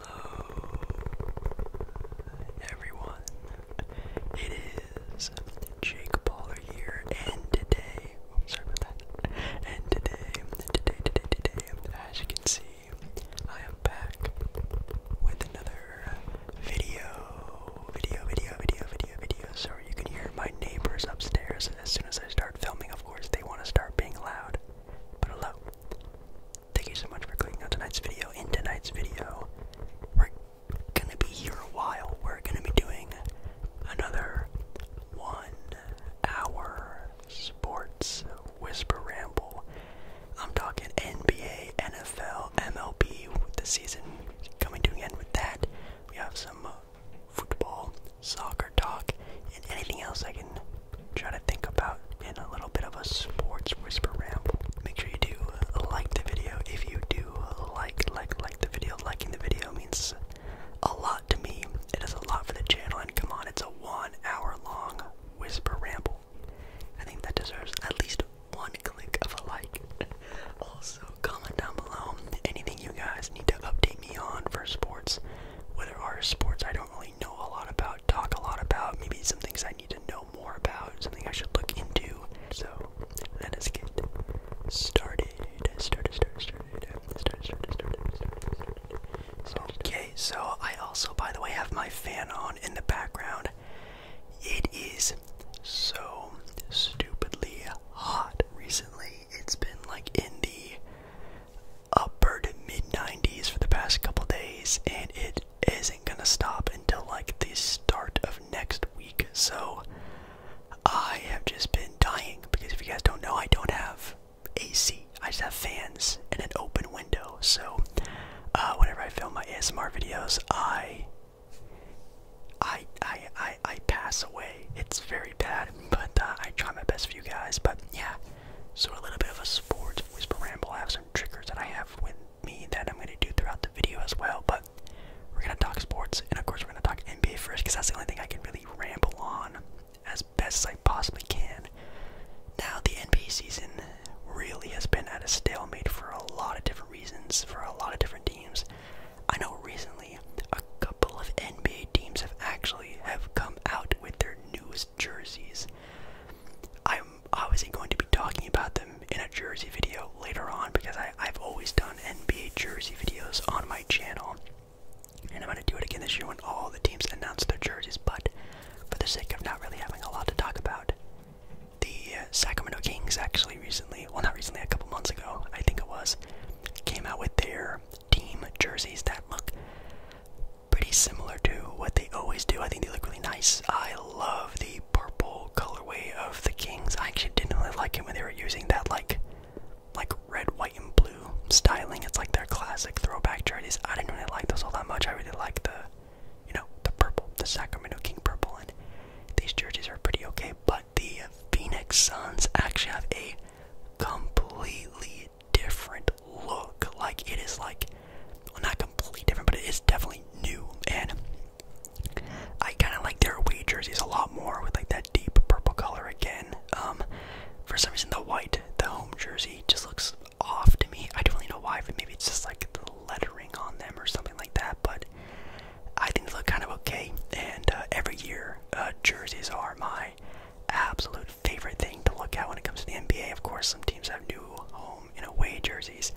Hello, hello, everyone. It is Jake Baller here, and today, oh, sorry about that. And today, today, today, today, as you can see, I am back with another video, video, video, video, video, video. So you can hear my neighbors upstairs as soon as I start filming. Of course, they want to start being loud. But hello, Thank you so much for clicking on tonight's video. In tonight's video, we're gonna be here a while. We're gonna be doing another one hour sports whisper ramble. I'm talking NBA, NFL, MLB, with the season coming to an end with that. We have some football, soccer talk, and anything else I can try to think about in a little bit of a sports whisper ramble. Make sure you do like the video. If you do like, like, like the video, liking the video means a lot to me. It is a lot for the channel, and come on, it's a one hour long whisper ramble. I think that deserves at least one click of a like. also, comment down below anything you guys need to update me on for sports. Whether are sports I don't really know a lot about talk a lot about, maybe some things I need to know more about, something I should look into. So let us get started. Started, started, started, started, started, started, started, started. Okay, so I also, by the way, have my fan on in the background. It is so stupidly hot recently. It's been like in the upper to mid 90s for the past couple days, and it isn't gonna stop until like the start of next week. So I have just been dying because if you guys don't know, I don't have AC. I just have fans and an open window. So uh, whenever I film my ASMR videos, I I I I I pass away. It's very bad, but uh, I try my best for you guys. But yeah, so a little bit of a sports whisper ramble. I have some triggers that I have with me that I'm going to do throughout the video as well. But we're going to talk sports, and of course we're going to talk NBA first because that's the only thing I can really ramble on as best as I possibly can. Now the NBA season really has been at a stalemate for a lot of different reasons for a lot of different teams. I know recently a couple of NBA teams have actually have come out with their new jerseys. I'm obviously going to be talking about them in a jersey video later on because I, have always done NBA jersey videos on my channel. And I'm going to do it again this year when all the teams announce their jerseys, but for the sake of not really having a lot to talk about, the uh, Sacramento Kings actually recently, well, not recently, a couple months ago, I think it was, came out with their team jerseys that look pretty similar to what they always do. I think they look really nice. I love the purple colorway of the Kings. I actually didn't really like them when they were using that like like red, white, and blue styling. It's like their classic throwback jerseys. I didn't really like those all that much. I really like the you know, the purple, the Sacramento King purple, and these jerseys are pretty okay, but the Phoenix Suns actually have a completely different look. Like it is like not completely different, but it is definitely new. And I kind of like their away jerseys a lot more with like that deep purple color again. Um, for some reason, the white, the home jersey, just looks off to me. I don't really know why, but maybe it's just like the lettering on them or something like that. But I think they look kind of okay. And uh, every year, uh, jerseys are my absolute favorite thing to look at when it comes to the NBA. Of course, some teams have new home and away jerseys,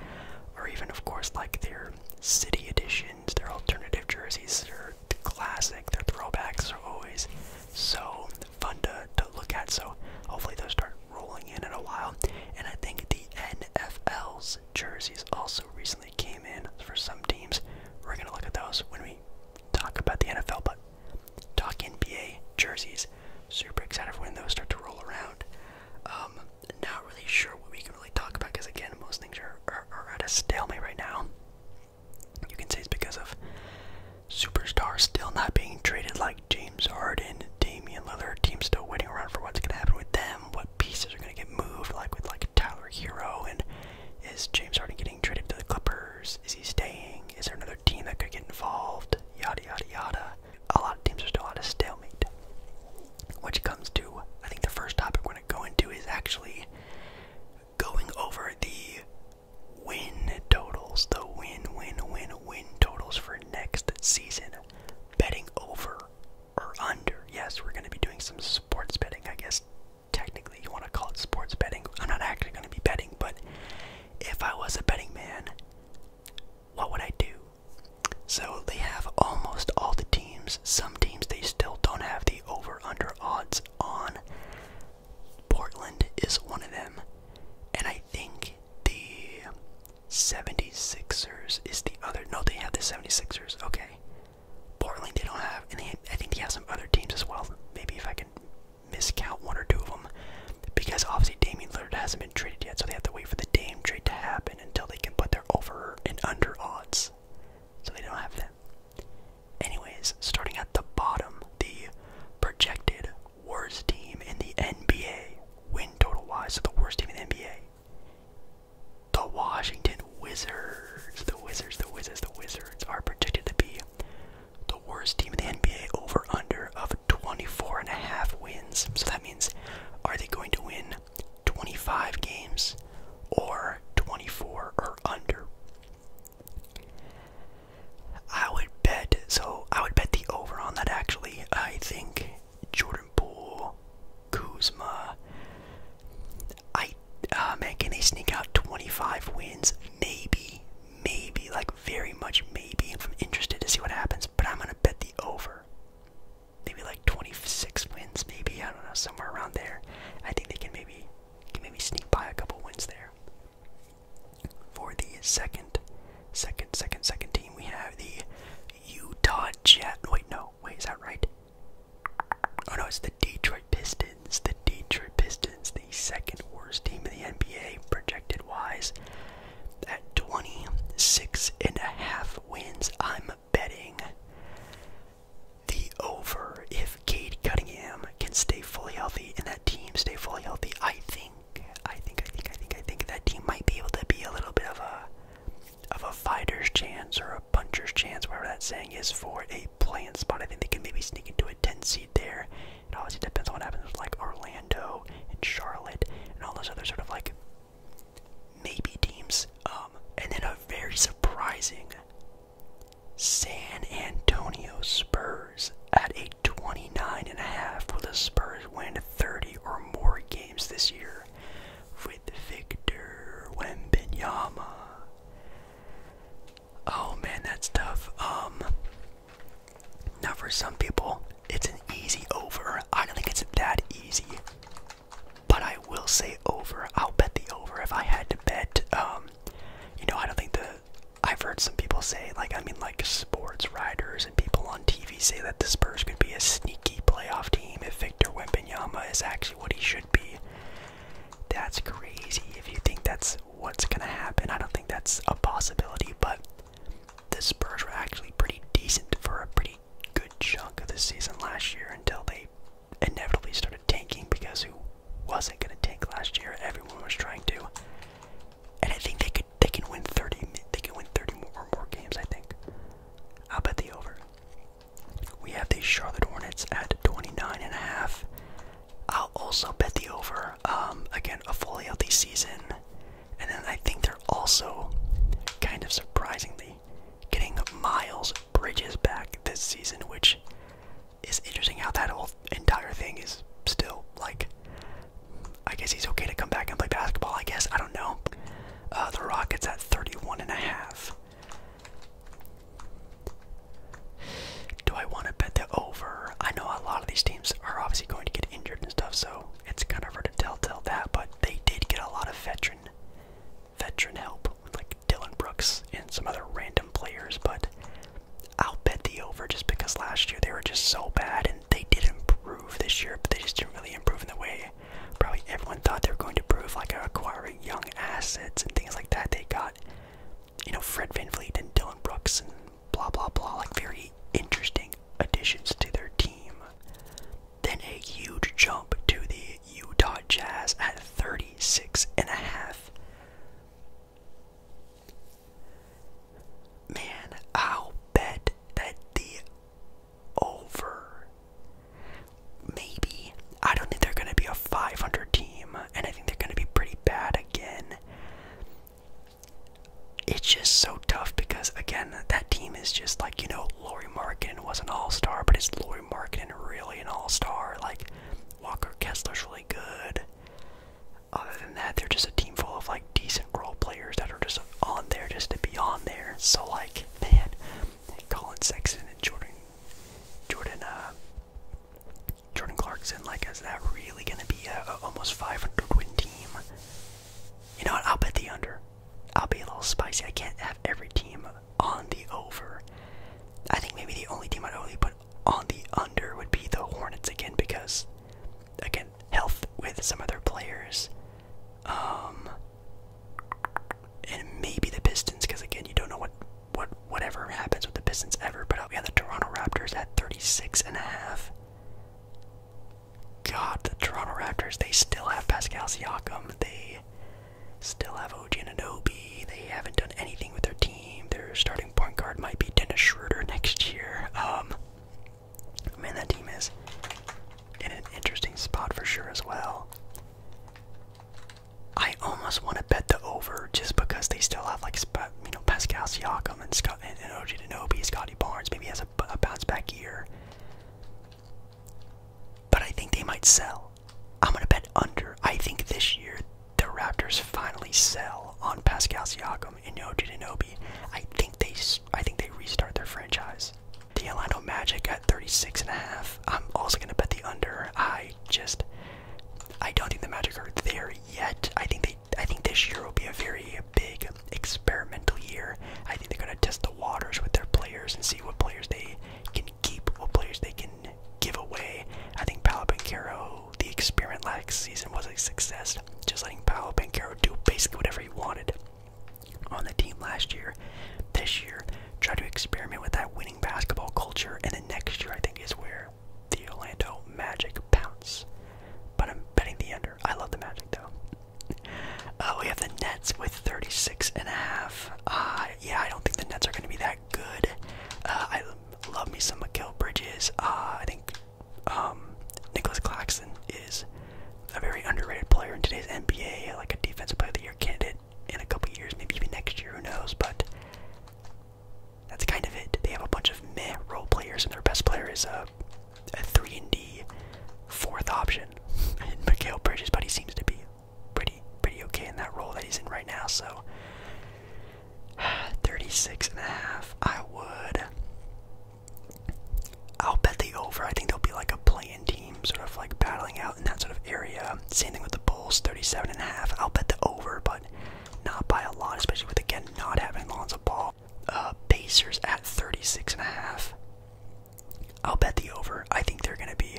or even, of course, like their city editions, their alternative jerseys, their classic, their throwbacks are always so fun to, to look at. So hopefully those start rolling in in a while. And I think the NFL's jerseys also recently came in for some teams. We're gonna look at those when we talk about the NFL, but Talk NBA jerseys. Super excited when those start to roll around. Um, not really sure what we can really talk about because again, most things are, are, at a stalemate right now. You can say it's because of superstars still not being traded, like James Harden, Damian Lillard. Team still waiting around for what's going to happen with them. What pieces are going to get moved, like with like Tyler Hero, and is James Harden getting traded to the Clippers? Is he staying? Is there another team that could get involved? Yada yada yada. A lot of teams are still at a stalemate. Which comes to, I think the first topic we're going to go into is actually going over the win totals, the win, win, win, win totals for next season. Betting over or under. Yes, we're going to be doing some sports betting, I guess. Technically, you want to call it sports betting. I'm not actually going to be betting, but if I was a betting man, what would I do? So they have almost all the teams. Some teams they still don't have the over under odds on. Portland is one of them. And I think the 76ers is the other. No, they have the 76ers. Okay. Portland they don't have. And I think they have some other teams as well. Maybe if I can miscount one or two of them because obviously Damian Lillard hasn't been traded yet, so they have to wait for the Dame trade to happen until they can put their over and under odds. So they don't have that. Anyways, starting at the bottom, the projected worst team in the NBA, win total wise, so the worst team in the NBA. The Washington Wizards, the Wizards, the Wizards, the Wizards are projected to be the worst team in the NBA over under of 24 and a half wins. So that means are they going to win 25 games or 24 or under? I would bet so I would bet the over on that actually. I think Jordan Poole, Kuzma I uh, man, can they sneak out 25 wins? Maybe, maybe, like very much maybe. I'm interested to see what happens, but I'm gonna bet the over. Maybe like 26 wins, maybe I don't know, somewhere around there. I think they can maybe can maybe sneak by a couple wins there. For the second, second, second, second team, we have the Utah Jet. Wait, no, wait, is that right? Oh no, it's the Detroit Pistons. The Detroit Pistons, the second worst team in the NBA projected wise. At 26 and a half wins, I'm betting the over. If Kate Cunningham can stay fully healthy and that team stay fully healthy, I think, I think, I think, I think, I think that team might be able to be a little bit of a of a fighter's chance or a puncher's chance, whatever that saying is, for a playing spot. I think they can maybe sneak into a 10 seed there it obviously depends on what happens with like Orlando and Charlotte and all those other sort of like maybe teams. Um, and then a very surprising San Antonio Spurs at a 29 and a half. Will the Spurs win 30 or more games this year with Victor Wembanyama? Oh man, that's tough. Um, now, for some people, it's an easy over. I don't think it's that easy, but I will say over. I'll bet the over if I had to bet. Um, you know, I don't think the. I've heard some people say, like, I mean, like sports writers and people on TV say that the Spurs could be a sneaky playoff team if Victor Wembanyama is actually what he should be. That's crazy. If you think that's what's gonna happen, I don't think that's a possibility, but the Spurs were actually pretty decent for a pretty good chunk of the season last year until they inevitably started tanking because who wasn't going to tank last year? Everyone was trying to, and I think they could. They can win thirty. They can win thirty more more games. I think. I'll bet the over. We have the Charlotte Hornets at twenty nine and a half. I also bet the over. Um, again, a fully healthy season. And then I think they're also kind of surprisingly getting Miles Bridges back this season, which is interesting how that whole entire thing is still like. I guess he's okay to come back and play basketball, I guess. I don't know. Uh, the Rockets at 31 and a half. Do I want to bet the over? I know a lot of these teams are obviously going to get injured and stuff, so it's kind of hard to tell tell that. But they did get a lot of veteran, veteran help, like Dylan Brooks and some other random players. But I'll bet the over just because last year they were just so bad, and they did improve this year, but they just didn't really improve in the way probably everyone thought they were going to improve, like acquiring young assets and things like that. They got, you know, Fred VanVleet and Dylan Brooks and blah blah blah, like very interesting additions to their team. Then a huge jump to the Utah Jazz at 36 and a half. Man, I'll bet that the over. Maybe. I don't think they're going to be a 500 team, and I think they're going to be pretty bad again it's just so tough because again that team is just like you know Laurie Markin was an all-star, but is Laurie Markin really an all-star? Like Walker Kessler's really good. Other than that, they're just a team full of like decent role players that are just on there just to be on there. So like man, Colin Sexton and Jordan, Jordan, uh, Jordan Clarkson. Like, is that really gonna be a, a almost 500 win team? You know I'll bet the under. I'll be a little spicy. I can't have every team on the over. I think maybe the only team I'd only put on the under would be the Hornets again because, again, health with some other players. Um, and maybe the Pistons because, again, you don't know what, what whatever happens with the Pistons ever. But I'll the Toronto Raptors at 36 and a half. God, the Toronto Raptors, they still have Pascal Siakam. They still have OG and Anobi. They haven't done anything with their team. Their starting point guard might be Dennis Schroeder next year. Um, man, that team is in an interesting spot for sure as well. I almost want to bet the over just because they still have like you know Pascal Siakam and Scott and, and OG Denobi, Scotty Barnes. Maybe has a, bounce back year. But I think they might sell. I'm gonna bet under. I think this year the Raptors finally sell on Pascal Siakam and OG Denobi. I think they I think they restart their franchise. The Orlando Magic at 36 and a half. I'm also gonna bet the under. I just I don't think the Magic are there yet. I think they I think this year will be a very big experimental year. I think they're going to test the waters with their players and see what players they can keep, what players they can give away. I think Paolo Bancaro, the experiment last season was a success, just letting Paolo Bancaro do basically whatever he wanted on the team last year. This year, try to experiment with that winning basketball culture, and then next year I think is where the Orlando Magic pounce. But I'm betting the under. I love the Magic though. Uh, we have the Nets with 36 and a half. Uh, yeah, I don't think the Nets are going to be that good. Uh, I love me some Mikael Bridges. Uh, I think um, Nicholas Claxton is a very underrated player in today's NBA, like a defensive player of the year candidate in a couple years, maybe even next year, who knows? But that's kind of it. They have a bunch of meh role players, and their best player is uh, a three and D fourth option in Mikael Bridges, but he seems to be pretty pretty okay in that role that he's in right now. So 36 and a half, I would. I'll bet the over. I think there will be like a play-in team, sort of like battling out in that sort of area. Same thing with the Bulls, 37 and a half. I'll bet the over, but not by a lot, especially with again not having Lonzo Ball. Uh, Pacers at 36 and a half. I'll bet the over. I think they're gonna be.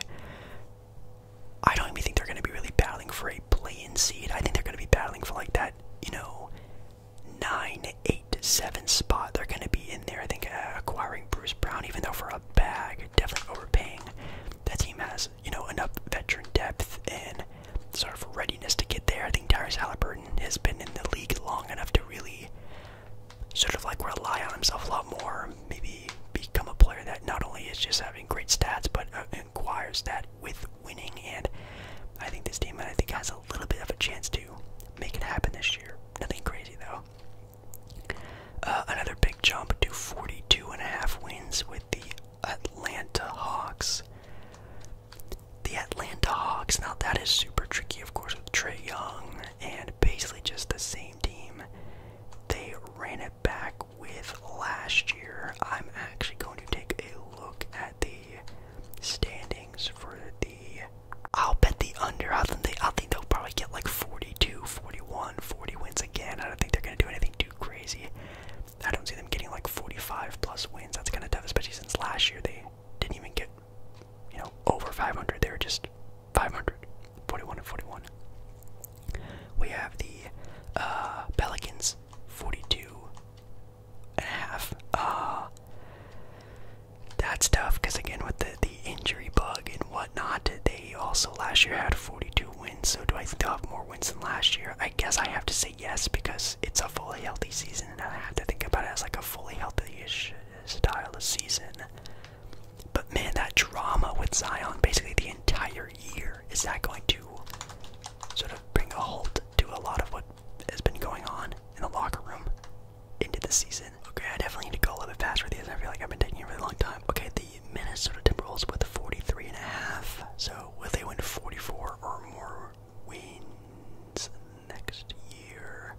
I don't even think they're gonna be really battling for a play seed. I think they're gonna be battling for like that, you know, nine, eight, seven spot. They're gonna be in there. I think acquiring Bruce Brown, even though for a bag, definitely overpaying. That team has, you know, enough veteran depth and sort of readiness to get there. I think Tyrese Halliburton has been in the league long enough to really sort of like rely on himself a lot more, maybe become a player that not only is just having great stats, but uh, that with winning. And I think this team, I think, has a little bit of a chance to make it happen this year. Nothing crazy though. Uh, another big jump to 42 and a half wins with the Atlanta Hawks the Atlanta Hawks. Now that is super tricky, of course, with Trey Young and basically just the same team they ran it back with last year. I'm actually going to take a look at the standings for the. I'll bet the under. I think they. I think they'll probably get like 42, 41, 40 wins again. I don't think they're gonna do anything too crazy. I don't see them getting like 45 plus wins. That's kind of tough, especially since last year they didn't even get, you know, over 500. They were just 500, 41 and 41. We have the uh, Pelicans, 42 and a half. Uh, that's tough because again, with the the injury bug and whatnot, they also last year had 42 wins. So do I think they'll have more wins than last year? I guess I have to say yes because it's a fully healthy season, and I have to think about it as like a fully healthy-ish style of season. But man, that drama with Zion basically the entire year is that going to sort of bring a halt to a lot of what has been going on in the locker room into the season. Okay, I definitely need to go a little bit faster with these. I feel like I've been taking a really long time. Okay, the Minnesota Timberwolves with 43 and a half. So will they win 44 or more wins next year.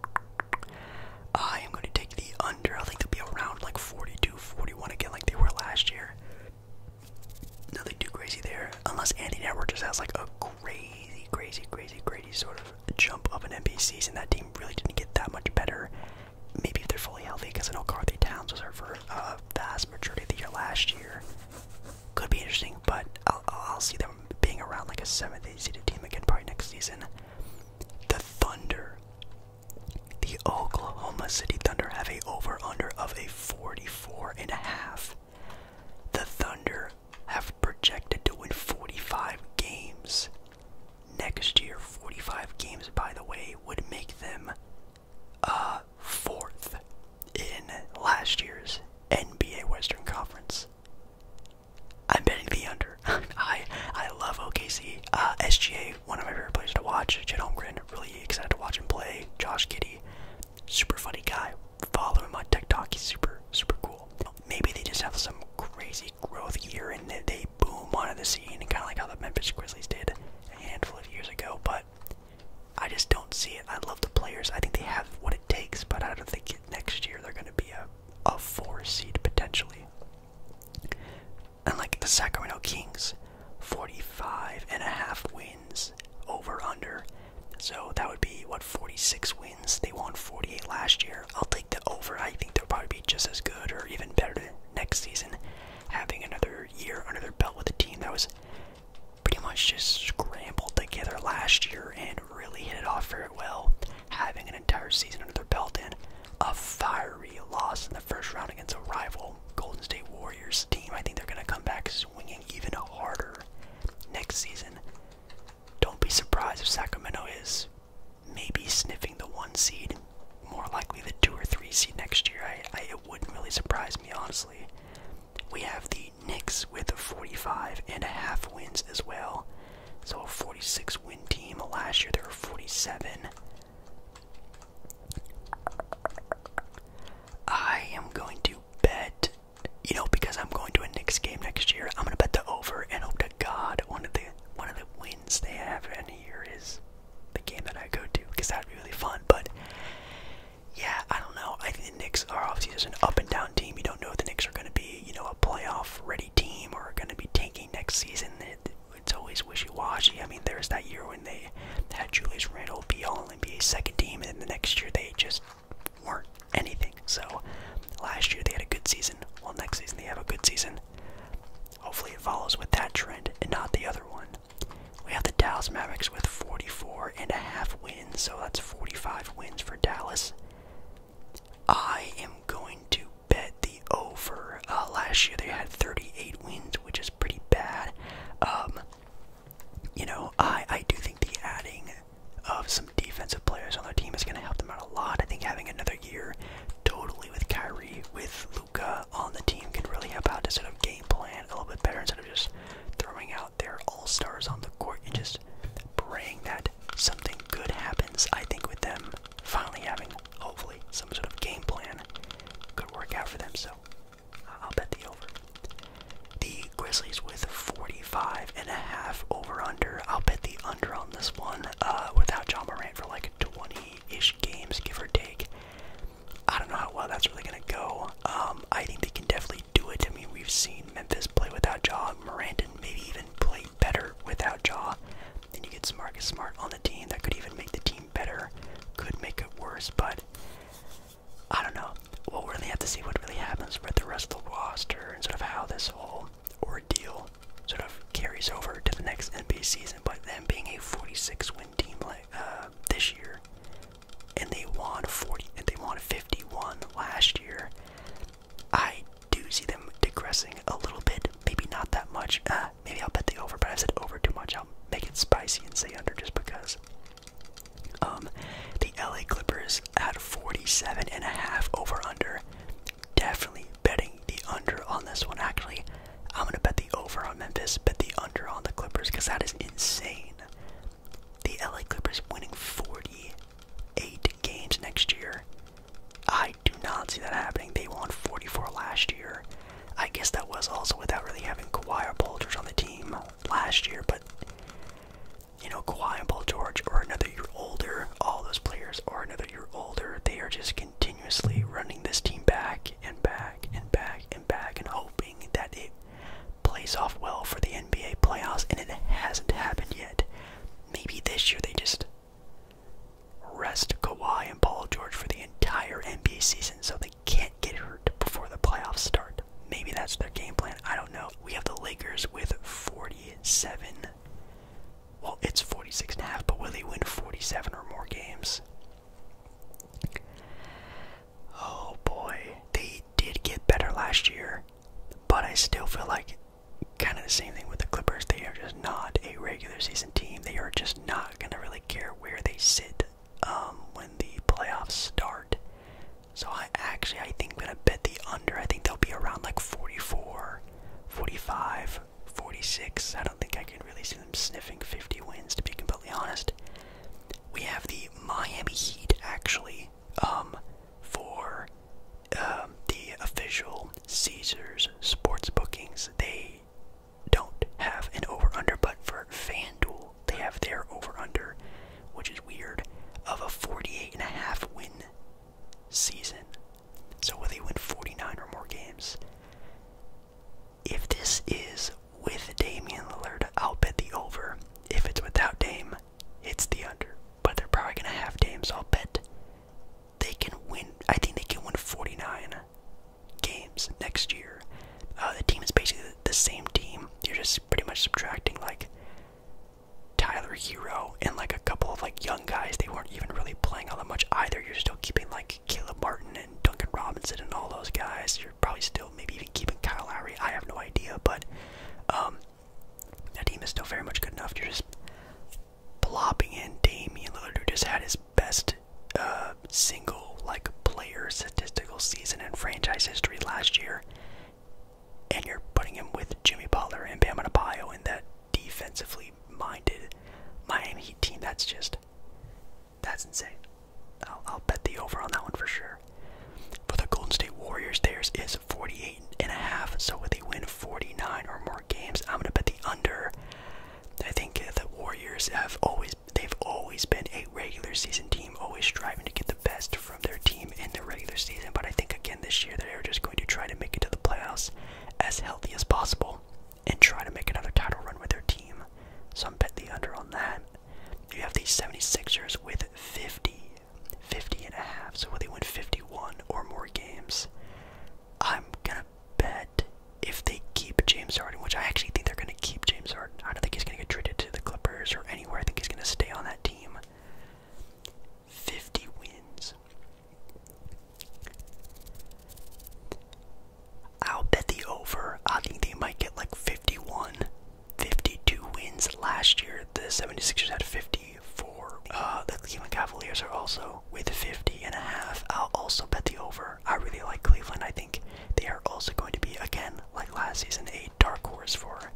I am going to take the under. I think they'll be around like 42, 41 again, like they were last year. Nothing too crazy there, unless Andy Network just has like a crazy, crazy, crazy, crazy sort of jump of an NBA season. That team really didn't get that much better. Maybe if they're fully healthy, because I know Carthy Towns was hurt for a uh, vast majority of the year last year could be interesting, but I'll, see them being around like a seventh, eighth seeded team again probably next season. The Thunder, the Oklahoma City Thunder have a over under of a 44 and a half. The Thunder have projected to win 45 games next year. 45 games, by the way, would make them a uh, fourth in last year's NBA Western Conference. I'm betting the under. I I love OKC. Uh, SGA, one of my favorite players to watch. Chet Holmgren, really excited to watch him play. Josh Giddy, super funny guy. Following my on TikTok. He's super super cool. Maybe they just have some crazy growth year and they boom onto the scene, kind of like how the Memphis Grizzlies did a handful of years ago. But I just don't see it. I love the players. I think they have what it takes, but I don't think next year they're going to be a a four seed potentially. And like the Sacramento Kings, 45 and a half wins over under. So that would be what 46 wins. They won 48 last year. I'll take the over. I think they'll probably be just as good or even better next season having another year under their belt with a team that was pretty much just scrambled together last year and really hit it off very well, having an entire season under their belt and a fiery loss in the first round against a rival Golden State Warriors team. I think they're going to come back swinging even harder next season. Don't be surprised if Sacramento is maybe sniffing the one seed, more likely the two or three seed next year. I, it wouldn't really surprise me honestly. We have the Knicks with 45 and a half wins as well. So a 46 win team. Last year they were 47. I am going to bet, you know, because I'm going to a Knicks game next year, I'm gonna bet the over and hope to God one of the one of the wins they have in here is the game that I go to, because that'd be really fun. But yeah, I don't know. I think the Knicks are obviously just an up and down team. You don't know if the Knicks are going to be, you know, a playoff ready team or going to be tanking next season. It, it's always wishy washy. I mean, there was that year when they had Julius Randle be all NBA second team, and then the next year they just weren't anything. So last year they had a good season. Well, next season they have a good season. Hopefully it follows with that trend and not the other one. We have the Dallas Mavericks with 44 and a half so that's 45 wins for Dallas. I am going to bet the over. Uh, last year they had 38 wins, which is pretty bad. Um, you know, I, I do think the adding of some defensive players on their team is going to help them out a lot. I think having another year totally with Kyrie, with Luca on the team can really help out to set up game plan a little bit better instead of just throwing out their all stars on the court and just praying that something good happens. I think with them finally having, hopefully, some sort of game plan could work out for them. So I'll bet the over. The Grizzlies with 45 and a half over under. I'll bet the under on this one. Uh, without John Morant for like 20-ish games, give or take. I don't know how well that's really gonna go. Um, I think they can definitely really do it. I mean, we've seen Memphis play without Jaw, Mirandon maybe even play better without Jaw. Then you get Marcus Smart on the team that could even make the team better, could make it worse, but I don't know. We'll really have to see what really happens with the rest of the roster and sort of how this whole ordeal sort of carries over to the next NBA season. But them being a 46 win team like uh, this year, and they won 40 and they won 51 last year. I do see them degressing a little bit, maybe not that much. Uh, maybe I'll bet the over, but I said over too much. I'll make it spicy and say under just because. Um, the LA Clippers at 47 and a half over under. Definitely betting the under on this one. Actually, I'm gonna bet the over on Memphis, bet the under on the Clippers because that is insane. The LA Clippers winning 48 games next year. I do not see that happening. They won 44 last year. I guess that was also without really having Kawhi or Paul George on the team last year, but you know, Kawhi and Paul George are another year older. All those players are another year older. They are just continuously running this team back and back and back and back and hoping that it plays off well for the NBA playoffs, and it hasn't happened yet. Maybe this year they just rest Kawhi and Paul George for the entire NBA season so they can't get hurt before the playoffs start. Maybe that's their game plan. I don't know. We have the Lakers with 47. Well, it's 46 and a half, but will they win 47 or more games? Oh boy. They did get better last year but I still feel like kind of the same thing with the Clippers. They are just not a regular season team. They are just not going to really care where they sit um, when the playoffs start. So I actually I think I'm gonna bet the under. I think they'll be around like 44, 45, 46. I don't think I can really see them sniffing 50 wins to be completely honest. We have the Miami Heat actually um, for um, the official Caesars sports bookings, they don't have an over under, but for FanDuel, they have their over under, which is weird, of a 48 and a half win season. So, will they win 49 or more games? If this is with Damian Lillard, I'll bet the over. If it's without Dame, it's the under. But they're probably gonna have Dame, I'll bet they can win. I think they can win 49 games next year. Uh, the team is basically the same team. You're just pretty much subtracting like Tyler Hero and like a couple of like young guys. They weren't even really playing all that much either. You're still keeping like Caleb Martin and Duncan Robinson and all those guys. You're probably still maybe even keeping Kyle Lowry. I have no idea, but um, that team is still very much good enough. You're just plopping in Damian Lillard, who just had his best uh, single like player statistical season in franchise history last year, and you're putting him with Jimmy Butler and Bam Adebayo in that defensively minded Miami Heat team. That's just that's insane. I'll bet the over on that one for sure. For the Golden State Warriors, theirs is is 48 and a half. So if they win 49 or more games, I'm gonna bet the under. I think the Warriors have always they've always been a regular season team, always striving to get the best from their team in the regular season. But I think again this year they're just going to try to make it to the playoffs as healthy as possible and try to make another title run with their team. So I'm bet the under on that. You have the 76ers with 50. 50 and a half. So will they win 51 or more games? I'm gonna bet if they keep James Harden, which I actually think they're gonna keep James Harden. I don't think he's gonna get traded to the Clippers or anywhere. I think he's gonna stay on that team. 50 wins. I'll bet the over. I think they might get like 51. 52 wins last year. The 76ers had 54. Uh, the Cleveland Cavaliers are also with 50 and a half. I'll also bet the over. I really like Cleveland. I think they are also going to be, again, like last season, a dark horse for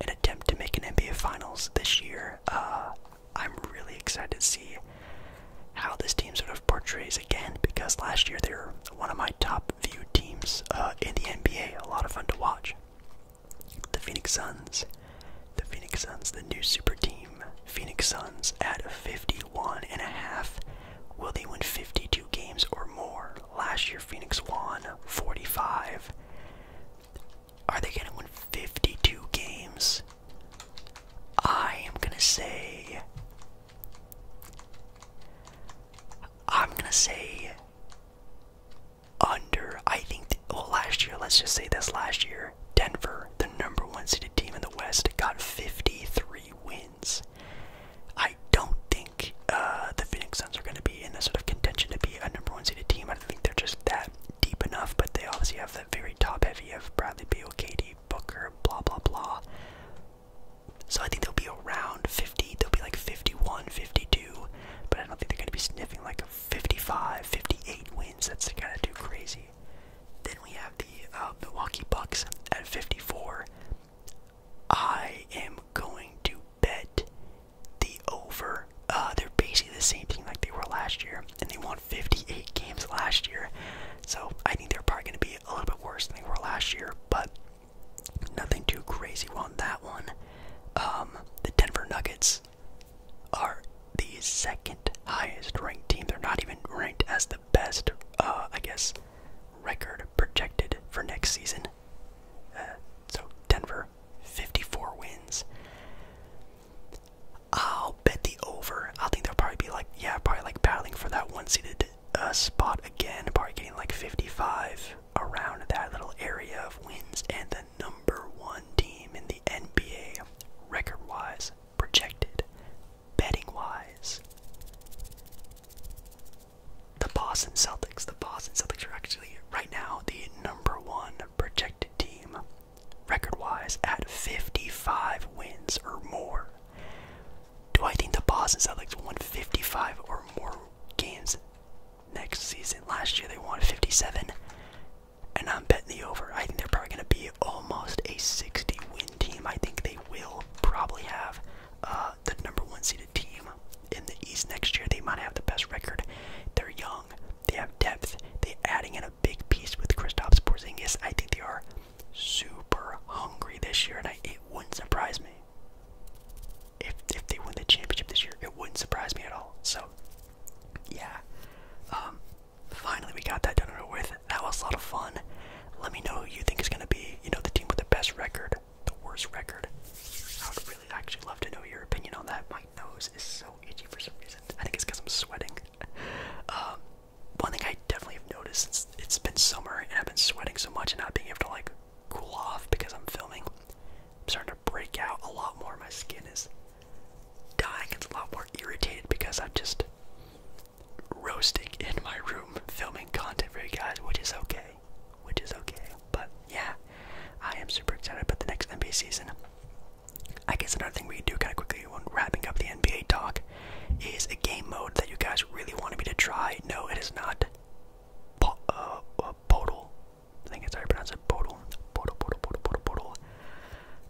an attempt to make an NBA Finals this year. Uh, I'm really excited to see how this team sort of portrays again because last year they were one of my top viewed teams uh, in the NBA. A lot of fun to watch. The Phoenix Suns. The Phoenix Suns, the new super team. Phoenix Suns at 51 and a half. Will they win 52 games or more? Last year Phoenix won 45. Are they going to win 52 games? I am going to say I'm going to say under. I think, last year, let's just say this last year, Denver, the number one seeded team in the West, got 53 wins. I don't think uh, the Phoenix Suns are going to be in the sort of contention to be a number one seeded team. I don't think they're just that deep enough, but they obviously have that very top heavy of Bradley Beal, KD, Booker, blah, blah, blah. So I think they'll be around 50. They'll be like 51, 52 but I don't think they're going to be sniffing like 55, 58 wins. That's kind of too crazy. Then we have the uh, Milwaukee Bucks at 54. I am going to bet the over. Uh, they're basically the same thing like they were last year, and they won 58 games last year. So I think they're probably going to be a little bit worse than they were last year, but Nothing too crazy on that one. Um, the Denver Nuggets are the second highest ranked team. They're not even ranked as the best, uh, I guess, record projected for next season. Uh, so Denver, 54 wins. I'll bet the over. I think they'll probably be like, yeah, probably like battling for that one seated uh, spot again. Probably getting like 55, around that little area of wins and the number one team in the NBA record wise, projected, betting wise. The Boston Celtics. The Boston Celtics are actually right now the number one projected team record wise at 55 wins or more. Do I think the Boston Celtics won 55 or more games next season. Last year they won 57, and I'm betting the over. I think they're probably going to be almost a 60 win team. I think they will probably have uh, the number one seeded team in the East next year. They might have the best record. They're young. They have depth. They're adding in a big piece with Kristaps Porzingis. I think they are super hungry this year, and it wouldn't surprise me if if they win the championship this year, it wouldn't surprise me at all. So, yeah, um, finally we got that done with. That was a lot of fun. Let me know who you think is going to be, you know, the team with the best record, the worst record. I would really actually love to know your opinion on that. My nose is so itchy for some reason. I think it's because I'm sweating. Um, one thing I definitely have noticed since it's been summer and I've been sweating so much and not being able to like cool off because I'm filming I'm starting to break out a lot more. My skin is dying. It's a lot more irritated because I'm just roasting in my room filming content for you guys, which is okay. Which is okay. But yeah, I am super excited about the next NBA season. I guess another thing we can do kind of quickly when wrapping up the NBA talk is a game mode that you guys really wanted me to try. No, it is not po uh, uh, I think it's how you pronounce it. Podol. Podol, Podol, Podol, Podol, Podol.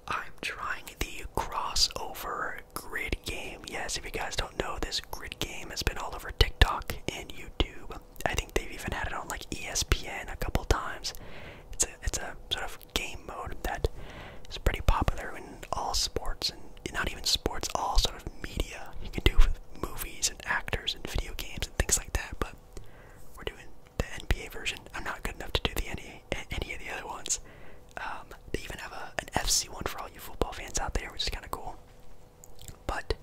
I'm trying the crossover grid game. Yes, if you guys don't know, this grid game has been all over TikTok and YouTube. I think they've even had it on like ESPN a couple times. It's a it's a sort of game mode that is pretty popular in all sports and not even sports, all sort of media you can do with movies and actors and video games and things like that. But we're doing the NBA version. I'm not good enough to do the any any of the other ones. Um, they even have a, an FC one for all you football fans out there, which is kind of cool. But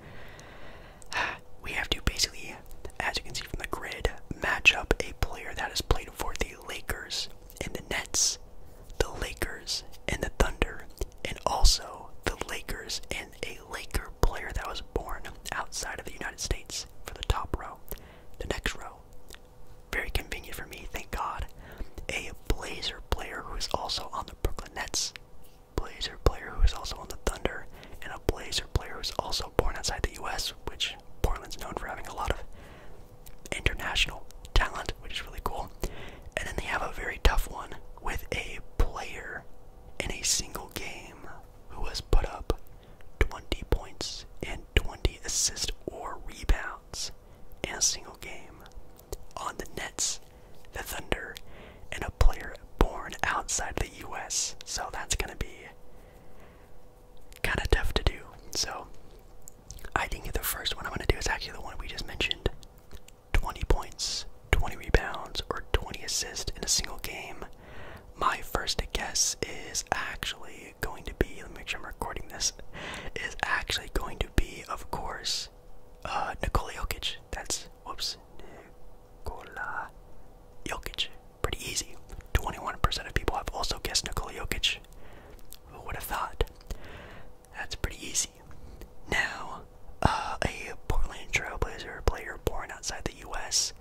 we have to basically, as you can see from the grid, match up a player that has played for the Lakers and the Nets, the Lakers and the Thunder, and also the Lakers and a Laker player that was born outside of the United States for the top row. The next row, very convenient for me, thank God, a Blazer player who is also on the Brooklyn Nets, Blazer player who is also on the Thunder, and a Blazer player who is also born outside the U.S., which Portland's known for having a lot of international talent, which is really cool. And then they have a very tough one with a player in a single game who has put up 20 points and 20 assists or rebounds in a single game on the Nets, the Thunder, and a player born outside the US. So that's going to be kind of tough to do. So I think the first one I'm going to do is actually the one we just mentioned 20 points 20 rebounds or 20 assists in a single game. My first guess is actually going to be, let me make sure I'm recording this, is actually going to be, of course, uh, Nikola Jokic. That's, whoops, Nikola Jokic. Pretty easy. 21% of people have also guessed Nikola Jokic. Who would have thought? That's pretty easy. Now, uh, a Portland Trailblazer player born outside the U.S.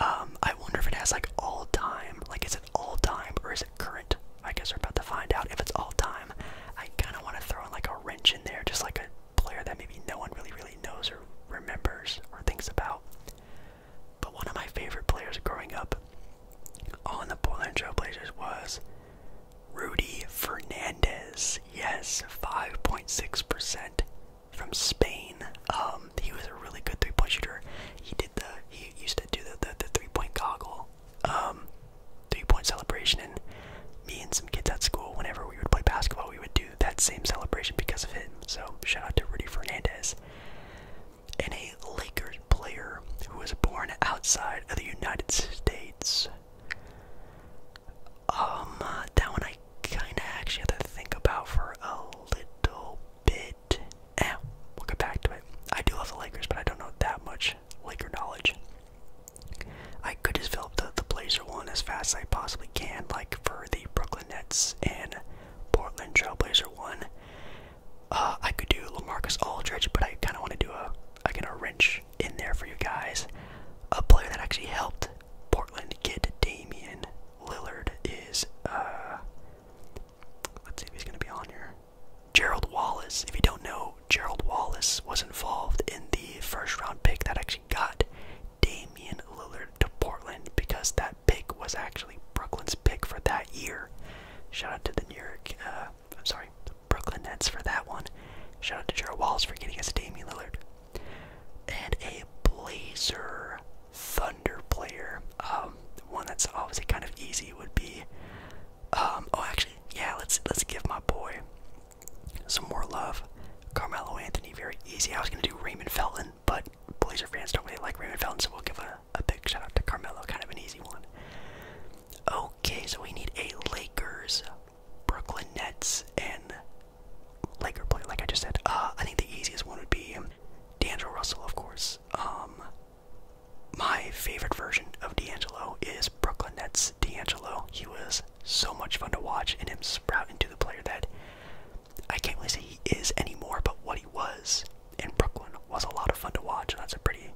Um, I wonder if it has like all time. Like, is it all time or is it current? I guess we're about to find out. If it's all time, I kind of want to throw in like a wrench in there, just like a player that maybe no one really, really knows or remembers or thinks about. But one of my favorite players growing up on the Portland Trailblazers was Rudy Fernandez. Yes, 5.6% from Spain. Um, he was a really good three-point shooter. He did the he used to do the the, three-point goggle, um, three-point celebration, and me and some kids at school, whenever we would play basketball, we would do that same celebration because of him. So shout out to Rudy Fernandez. And a Lakers player who was born outside of the United States um, uh, that one I kinda actually had to think about for a little bit. Eh, we'll get back to it. I do love the Lakers, but I don't know that much Laker knowledge. I could just fill up the, the Blazer one as fast as I possibly can, like for the Brooklyn Nets and Portland Trailblazer one. Uh, I could do Lamarcus Aldridge, but I kind of want to do a I like, a wrench in there for you guys. A player that actually helped Portland kid Damian Lillard is uh let's see if he's gonna be on here. Gerald Wallace. If you don't know, Gerald Wallace was involved in the first round pick that actually got Damian Lillard to Portland because that pick was actually Brooklyn's pick for that year. Shout out to the New York uh I'm sorry, the Brooklyn Nets for that one. Shout out to Gerald Wallace for getting us Damian Lillard and a Blazer Thunder player. Um, one that's obviously kind of easy would be. Um, oh, actually, yeah. Let's let's give my boy some more love. Carmelo Anthony, very easy. I was gonna do Raymond Felton, but Blazer fans don't really like Raymond Felton, so we'll give a, a big shout out to Carmelo. Kind of an easy one. Okay, so we need a Lakers, Brooklyn Nets, and Laker play, like I just said. Uh, I think the easiest one would be D'Angelo Russell, of course. Um, my favorite version of D'Angelo is Brooklyn Nets D'Angelo. He was so much fun to watch, and him sprout into the player that I can't really say he is anymore, but what he was in Brooklyn was a lot of fun to watch. that's a pretty,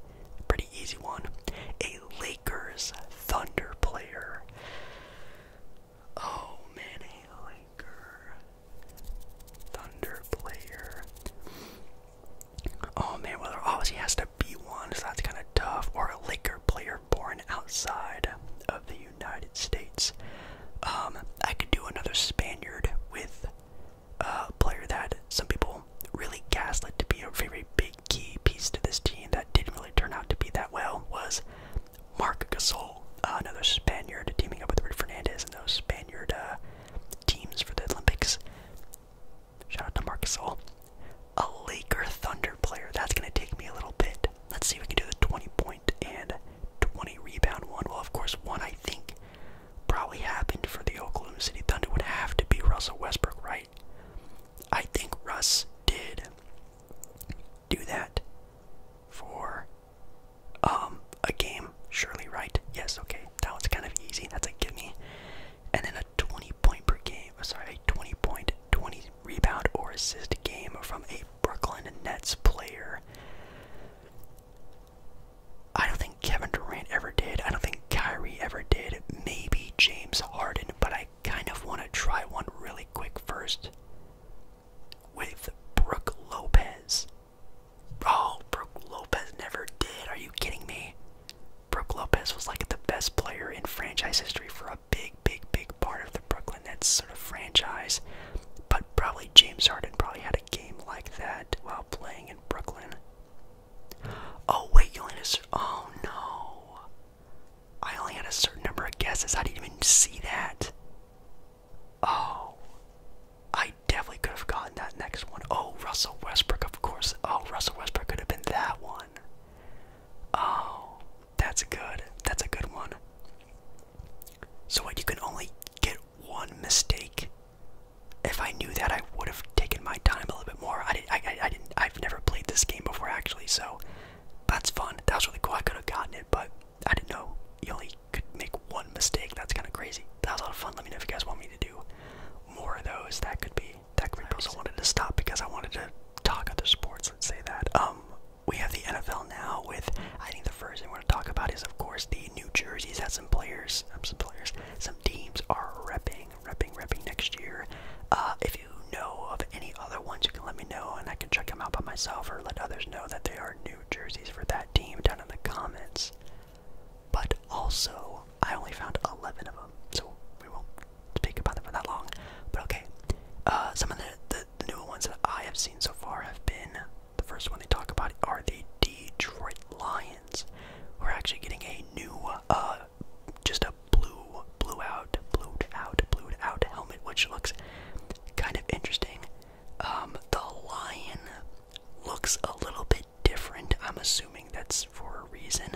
pretty easy one. A Lakers Thunder player. Oh, Manny Laker. Thunder player. Oh man, well there obviously has to be one, so that's kind of tough. Or a Laker player born outside of the United States. Um, I could do another Spaniard with a player that some people really gaslit to be a very big key piece to this team that didn't really turn out to be that well was Mark Gasol, uh, another Spaniard, teaming up with Rick Fernandez and those Spaniard uh, teams for the Olympics. Shout out to Mark Gasol. A Laker Thunder player. That's going to take me a little bit. Let's see if we can do the 20 point and 20 rebound one. Well, of course, one I think probably happened for the Oklahoma City Thunder would have to be Russell Westbrook, right? I think Russ did do that for um, a game surely right yes okay that was kind of easy that's a gimme and then a 20 point per game uh, sorry a 20 point 20 rebound or assist game from a brooklyn nets player i don't think kevin durant ever did i don't think kyrie ever did maybe james harden but i kind of want to try one really quick first with Brooke Lopez. Oh, Brooke Lopez never did. Are you kidding me? Brooke Lopez was like the best player in franchise history for a big, big, big part of the Brooklyn Nets sort of franchise. But probably James Harden probably had a game like that while playing in Brooklyn. Oh wait, you Jonas. Oh no. I only had a certain number of guesses. I didn't even see that. Oh. I definitely could have gotten that next one. Oh, Russell Westbrook, of course. Oh, Russell Westbrook could have been that one. Oh, that's good. That's a good one. So, what, you can only get one mistake? If I knew that, I would have taken my time a little bit more. I, I, I, I didn't. I've never played this game before, actually, so that's fun. That was really cool. I could have gotten it, but I didn't know you only could make one mistake. That's kind of crazy. That was a lot of fun. Let me know if you guys want me to do more of those. That could be. That could be. Nice. I wanted to stop because I wanted to talk other sports. Let's say that. Um, we have the NFL now. With I think the first thing we're gonna talk about is of course the New Jersey's had some players, um, some players, some teams are repping, repping, repping next year. Uh, if you know of any other ones, you can let me know and I can check them out by myself or let others know that they are new jerseys for that team down in the comments. But also, I only found 11 of them, so we won't speak about them for that long. But okay, uh, some of the, the, the newer ones that I have seen so far have been the first one they talk about are the Detroit Lions. We're actually getting a new, uh, just a blue blue, out, blued out, blued out helmet, which looks kind of interesting. Um, the lion looks a little bit different. I'm assuming that's for a reason.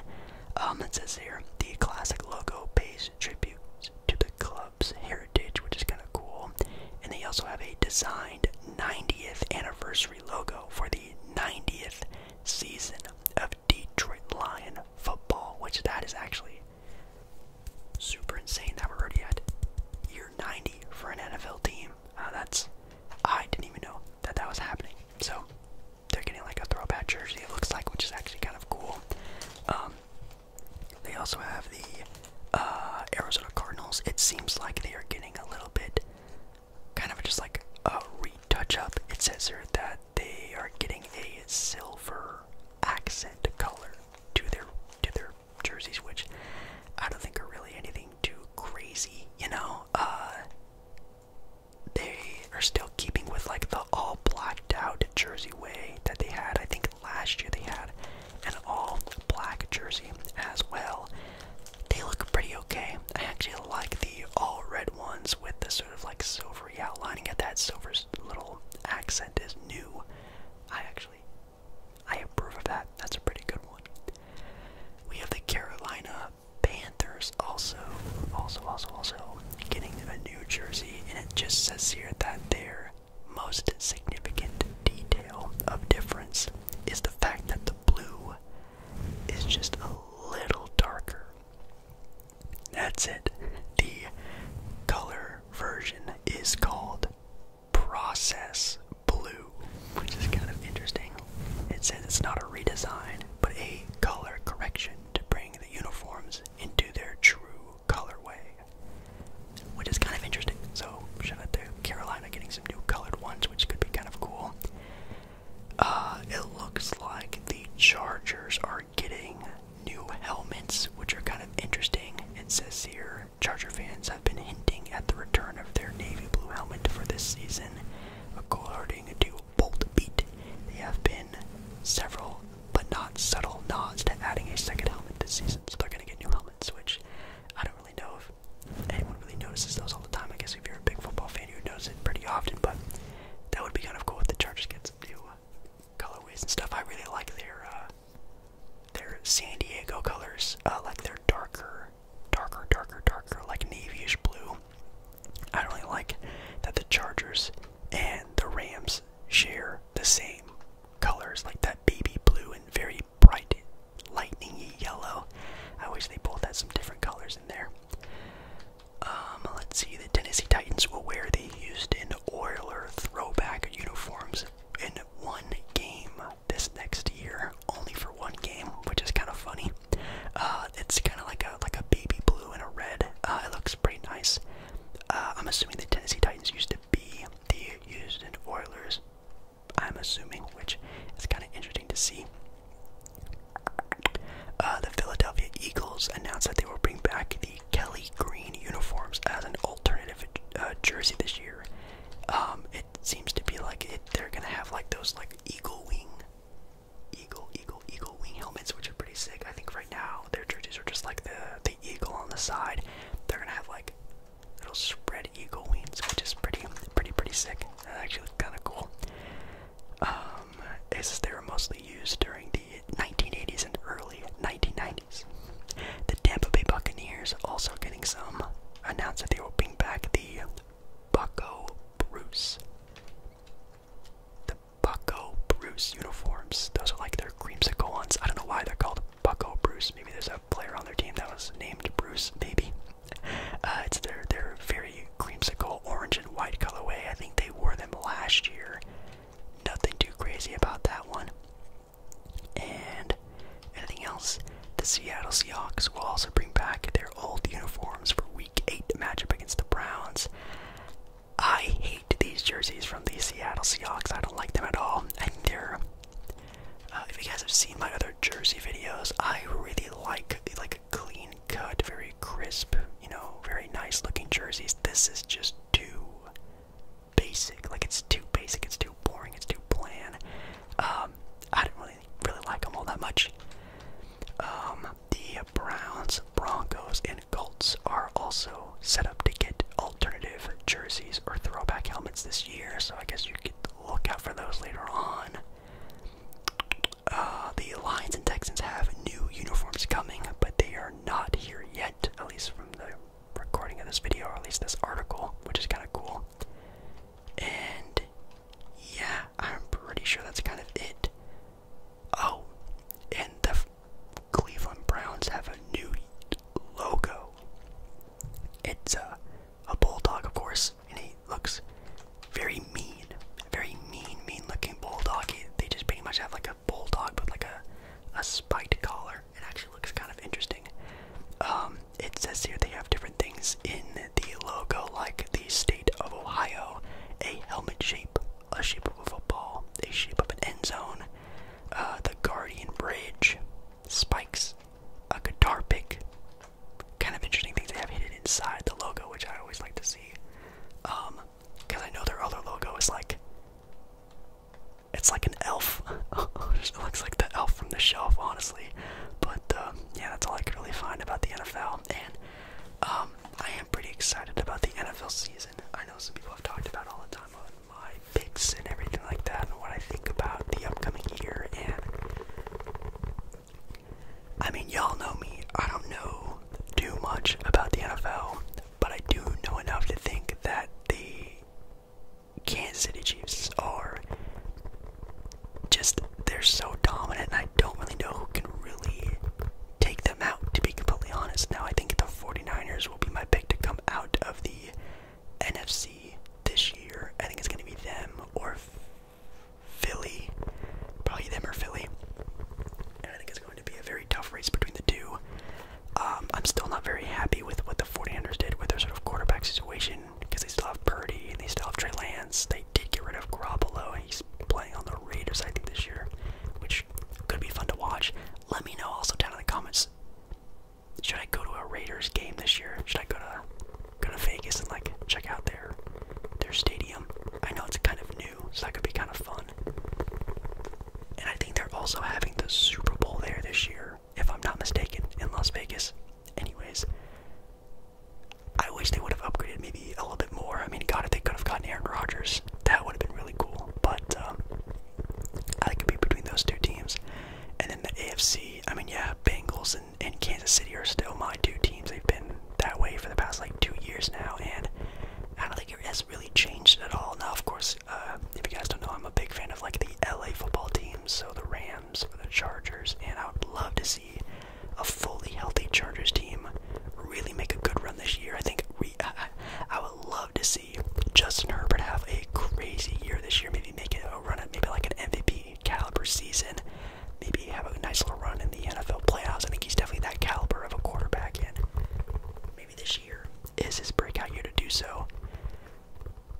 Um, it says here the classic logo pays tribute to the club's heritage, which is kind of cool. And they also have a designed 90th anniversary logo for the 90th season of Detroit Lion football, which that is actually Super insane that we're already at year 90 for an NFL team. Uh, that's I didn't even know that that was happening. So they're getting like a throwback jersey. It looks like, which is actually kind of cool. Um, they also have the uh, Arizona Cardinals. It seems like they are getting a little bit, kind of just like a retouch up. It says here that they are getting a silver accent color to their to their jerseys, which I don't think are really anything too crazy, you know. Uh, they are still keeping with like the all blacked out jersey way that they had. I think last year they had an all black jersey as well. They look pretty okay. I actually like the all red ones with the sort of like silvery outlining at that silver little accent accent new. I actually, I approve of that. That's a pretty good one. We have the Carolina Panthers also, also, also, also getting a new jersey, and it just says here that their most significant detail of difference is the fact that the blue is just a little darker that's it. The color version is called Process Blue, which is kind of interesting. It says it's not a redesign, but a color correction to bring the uniforms into their true colorway, which is kind of interesting. So, shout out to Carolina getting some new colored ones, which could be kind of cool. Uh, it looks like the Chargers are getting new helmets, which are kind of interesting. It says here Charger fans have been hinting at the return of their navy blue helmet for this season. According to Bolt Beat, they have been several but not subtle nods to adding a second helmet this season. So they're going to get new helmets, which I don't really know if anyone really notices those all the time. I guess if you're a big football fan, you notice it pretty often, but that would be kind of cool if the Chargers get some new colorways and stuff. I really like their uh, their San Diego colors, uh, like their darker, darker, darker, darker, like navyish blue. I do really like that the Chargers and the Rams share the same colors, like that baby blue and very bright, lightningy yellow. I wish they both had some different colors in there. Um, let's see the Tennessee Titans will wear the Houston Oilers throwback uniforms in one game this next year, only for one game, which is kind of funny. Uh, it's kind of like a like a baby blue and a red. Uh, it looks pretty nice. Uh, I'm assuming the Tennessee Titans used to be the Houston Oilers. I'm assuming, which is kind of interesting to see. the Philadelphia Eagles announced that they will bring back the. Kelly green uniforms as an alternative uh, jersey this year. Um, it seems to be like they're gonna have like those like eagle wing, eagle, eagle, eagle wing helmets, which are pretty sick. I think right now their jerseys are just like the the eagle on the side. They're gonna have like little spread eagle wings, which is pretty, pretty, pretty sick. actually looks kind of cool. Um, as they were mostly used during the. 1980s and early 1990s. The Tampa Bay Buccaneers also getting some announced that they will bring back the Bucko Bruce. The Bucko Bruce uniforms. Those are like their creamsicle ones. I don't know why they're called Bucko Bruce. Maybe there's a player on their team that was named Bruce, maybe. Uh, it's their, their very creamsicle orange and white colorway. I think they wore them last year Nothing too crazy about that one. And anything else, the Seattle Seahawks will also bring back their old uniforms for Week 8 matchup against the Browns. I hate these jerseys from the Seattle Seahawks. I don't like them at all. And think uh, if you guys have seen my other jersey videos, I really like like a clean cut, very crisp, you know, very nice looking jerseys. This is just too basic. Like it's too basic. It's too boring. It's too bland. Um, I didn't really really like them all that much. Um, the Browns, Broncos, and Colts are also set up to get alternative jerseys or throwback helmets this year. So I guess you could look out for those later on. Uh, the Lions and Texans have new uniforms coming, but they are not here yet, at least the recording of this video, or at least this article, which is kind of cool. And yeah, I'm pretty sure that's kind of it. Oh, and the Cleveland Browns have a new logo. It's a, uh, a bulldog, of course, and he looks very mean, very mean, mean looking bulldog. He, they just pretty much have like a bulldog but like a, a spiked collar. It actually looks kind of interesting. Um, it says here they have different things in the logo, like the state of Ohio, a helmet shape, a shape of a ball, a shape of an end zone, uh, the Guardian Bridge, spikes, a guitar pick. Kind of interesting things they have hidden inside the logo, which I always like to see. Um, because I know their other logo is like. It's like an elf. it looks like the elf from the shelf, honestly. But uh, yeah, that's all I could really find about the NFL. And um, I am pretty excited about the NFL season. I know some people have talked about all the time on my picks and everything like that, and what I think about the upcoming year. And I mean, y'all know me. I don't know too much about the NFL but I do know enough to think that the Kansas City Chiefs are just, they're so dominant, and I don't really know who can really take them out, to be completely honest. Now, I think the 49ers will be my pick to come out of the NFC this year. I think it's going to be them or Philly. Probably them or Philly it's going to be a very tough race between the two. Um, I'm still not very happy with what the 49ers did with their sort of quarterback situation because they still have Purdy and they still have Trey Lance. They did get rid of Garoppolo and he's playing on the Raiders, I think, this year, which could be fun to watch. Let me know also down in the comments. Should I go to a Raiders game this year? Should I go to go to Vegas and like check out their their stadium? I know it's kind of new, so that could be kind of fun. And I think they're also having the Super Bowl there this year, if I'm not mistaken, in Las Vegas. Anyways, I wish they would have upgraded maybe a little bit more. I mean, God, if they could have gotten Aaron Rodgers, that would have been really cool. But um, I think it be between those two teams. And then the AFC, I mean, yeah, Bengals and, Kansas City are still my two teams. They've been that way for the past like two years now, and I don't think you're it has really changed at all. Now, of course, uh, if you guys don't know, I'm a big fan of like the LA football teams, so the Rams, the Chargers, and I would love to see a fully healthy Chargers team really make a good run this year. I think we, uh, I would love to see Justin Herbert have a crazy year this year. Maybe make it a run at maybe like an MVP caliber season. Maybe have a nice little run in the NFL playoffs. I think he's definitely that caliber of a quarterback, and maybe this is his breakout year to do so.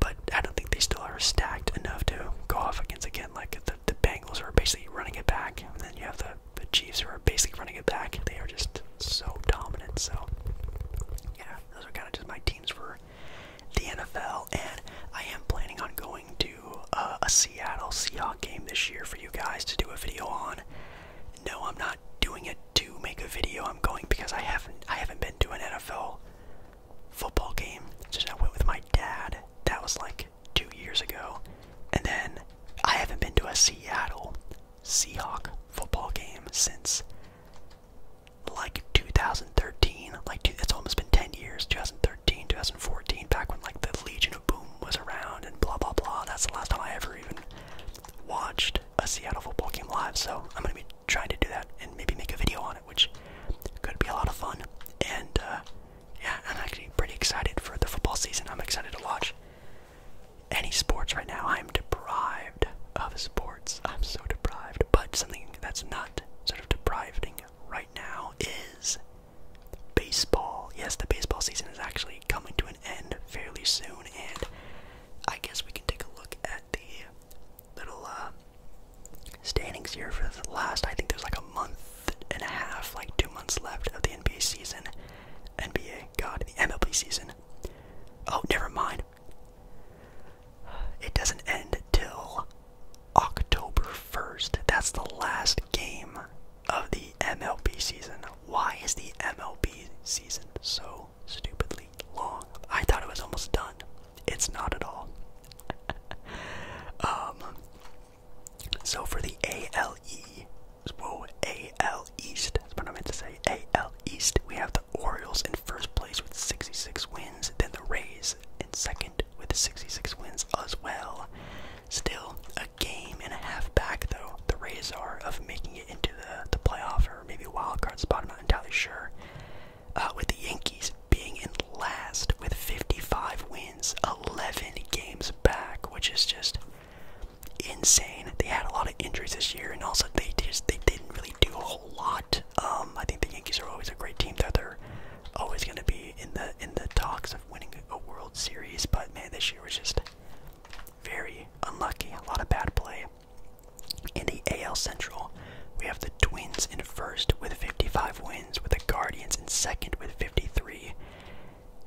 But I don't think they still are stacked enough to go off against again. Like the, the Bengals are basically running it back, and then you have the, the Chiefs who are basically running it back. They are just so dominant. So, yeah, those are kind of just my teams for the NFL. And I am planning on going to uh, a Seattle Seahawks game this year for you guys to do a video on. No, I'm not doing it to make a video. I'm going because I haven't I haven't been to an NFL football game since I went with my dad. That was like two years ago. And then I haven't been to a Seattle Seahawk football game since like 2013. Like it's almost been 10 years. 2013, 2014, back when like the Legion of Boom was around and blah blah blah. That's the last time I ever even watched a Seattle football game live, so I'm gonna be trying to do that and maybe make a video on it, which could be a lot of fun. And uh, yeah, I'm actually pretty excited for the football season. I'm excited to watch any sports right now. I'm deprived of sports. I'm so deprived. But something that's not sort of depriving right now is baseball. Yes, the baseball season is actually coming to an end fairly soon, and I guess we can take a look at the little uh, standings here for the last. I think there's like a month and a half, like two months left of the NBA season. NBA, God, the MLB season. Oh, never mind. It doesn't end till October 1st. That's the last game of the MLB season. Why is the MLB season so stupidly long. I thought it was almost done. It's not at all. um, so for the A L E, whoa, AL East, that's what I meant to say. AL East, we have the Orioles in first place with 66 wins, then the Rays in second with 66 wins as well. Still a game and a half back though. The Rays are of making it into the the playoff maybe wild card spot. I'm not entirely sure. Uh, with the Yankees being in last with 55 wins, 11 games back, which is just insane. They had a lot of injuries this year, and also they just they didn't really do a whole lot. Um, I think the Yankees are always a great team that they're always going to be in the in the talks of winning a World Series, but man, this year was just very unlucky. A lot of bad play. In the AL Central, we have the Twins in first with 55 wins, with the Guardians in second with 53.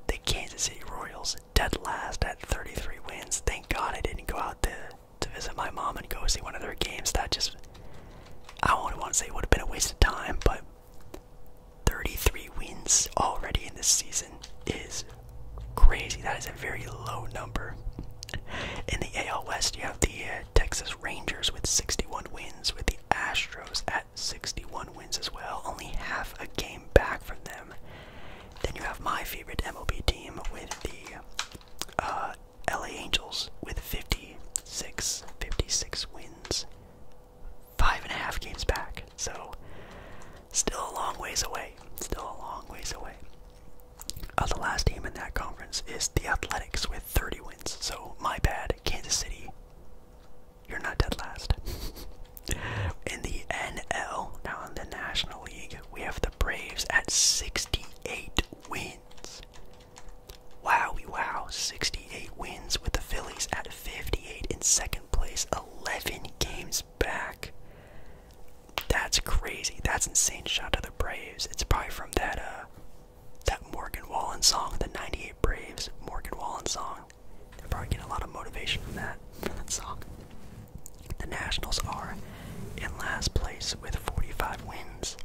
The Kansas City Royals dead last at 33 wins. Thank God I didn't go out to, to visit my mom and go see one of their games. That just, I only want to say it would have been a waste of time, but 33 wins already in this season is crazy. That is a very low number. In the AL West, you have the uh, Texas Rangers with 61 wins, with the Astros at 61 wins as well, only half a game back from them. Then you have my favorite MLB team with the uh, LA Angels with 56, 56 wins, five and a half games back. So Still a long ways away. Still a long ways away. Uh, the last team in that conference is the Athletics with 30 wins. So, my bad, Kansas City. You're not dead last. in the NL, now in the National League, we have the Braves at 68 wins. Wow, wow, 68 wins with the Phillies at 58 in second place, 11 games back. That's crazy. That's insane. Shout out to the Braves. It's probably from that uh that Morgan Wallen song, the '98 Braves Morgan Wallen song. They're probably getting a lot of motivation from that, from that song. The Nationals are in last place with 45 wins.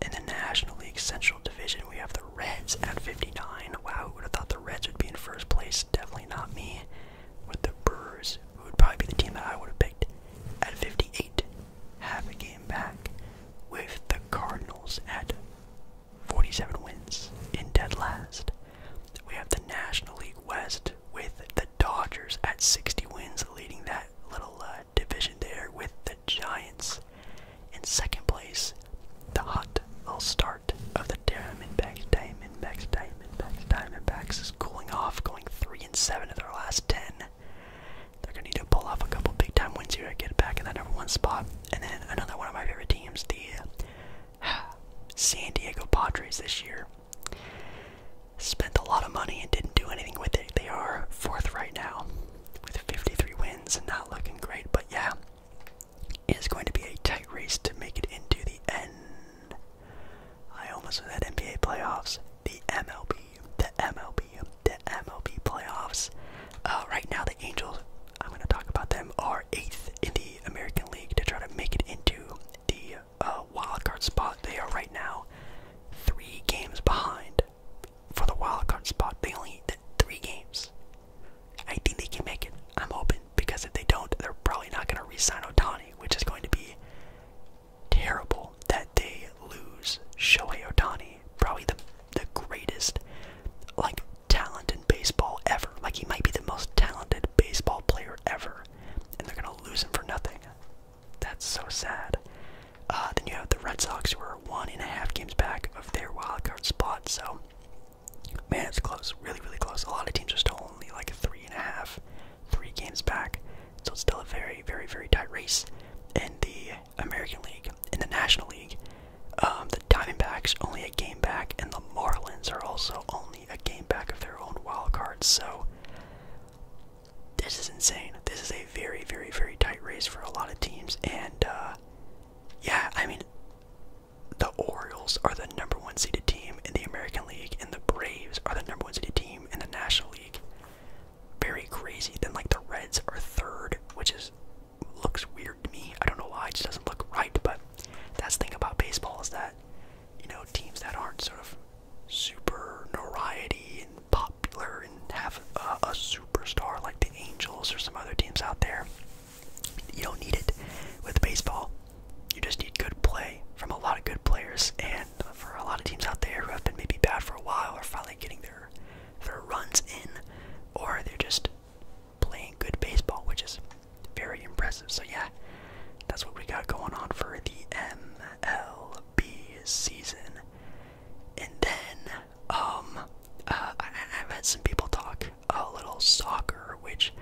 In the National League Central Division, we have the Reds at 59. Wow, who would have thought the Reds would be in first place? Definitely not me with the Brewers, who would probably be the team that I would have picked at 58, half a game back, with the Cardinals at 47 wins in dead last. We have the National League West with the Dodgers at 60 wins, leading that little uh, division there with the Giants. In second place, the hot start of the Diamondbacks, Diamondbacks, Diamondbacks. Diamondbacks. Diamondbacks is cooling off, going three and seven of their last ten. They're gonna need to pull off a couple big time wins here to get back in that number one spot. And then another one of my favorite teams, the San Diego Padres this year. Spent a lot of money and didn't do anything with it. They are fourth right now with 53 wins and not looking great, but yeah, it is going to be a tight race to make it into the end. I almost said NBA playoffs, the MLB, the MLB, the MLB playoffs. Uh, right now, the Angels, I'm going to talk about them, are eighth in the American League to try to make it into the uh, wild card spot. They are right now three games behind for the wild card spot. They only need three games. I think they can make it. I'm open because if they don't, they're probably not going to re-sign Otani, which is going to be terrible that they lose Shohei Otani, probably the the greatest like talent in baseball ever. Like he might be the most talented baseball player ever, and they're gonna lose him for nothing. That's so sad. Uh, then you have the Red Sox, who are one and a half games back of their wild card spot. So, man, it's close, really, really close. A lot of teams are still only like three and a half three games back. So it's still a very, very, very tight race in the American League. In the National League, um, the Diamondbacks only a game back, and the Marlins are also only a game back of their own wild card. So this is insane. This is a very, very, very tight race for a lot of teams. And uh, yeah, I mean, the Orioles are the number one seeded team in the American American League, and the Braves are the number one seeded team in the National League. Very crazy. Then like the Reds are third, which is looks weird to me. I don't know why. It just doesn't look right. But that's the thing about baseball is that you know teams that aren't sort of super notoriety and popular and have uh, a superstar like the Angels or some other teams out there. You don't need it with baseball you just need good play from a lot of good players. And for a lot of teams out there who have been maybe bad for a while are finally getting their their runs in, or they're just playing good baseball, which is very impressive. So yeah, that's what we got going on for the MLB season. And then, um, uh, I, I've had some people talk a little soccer, which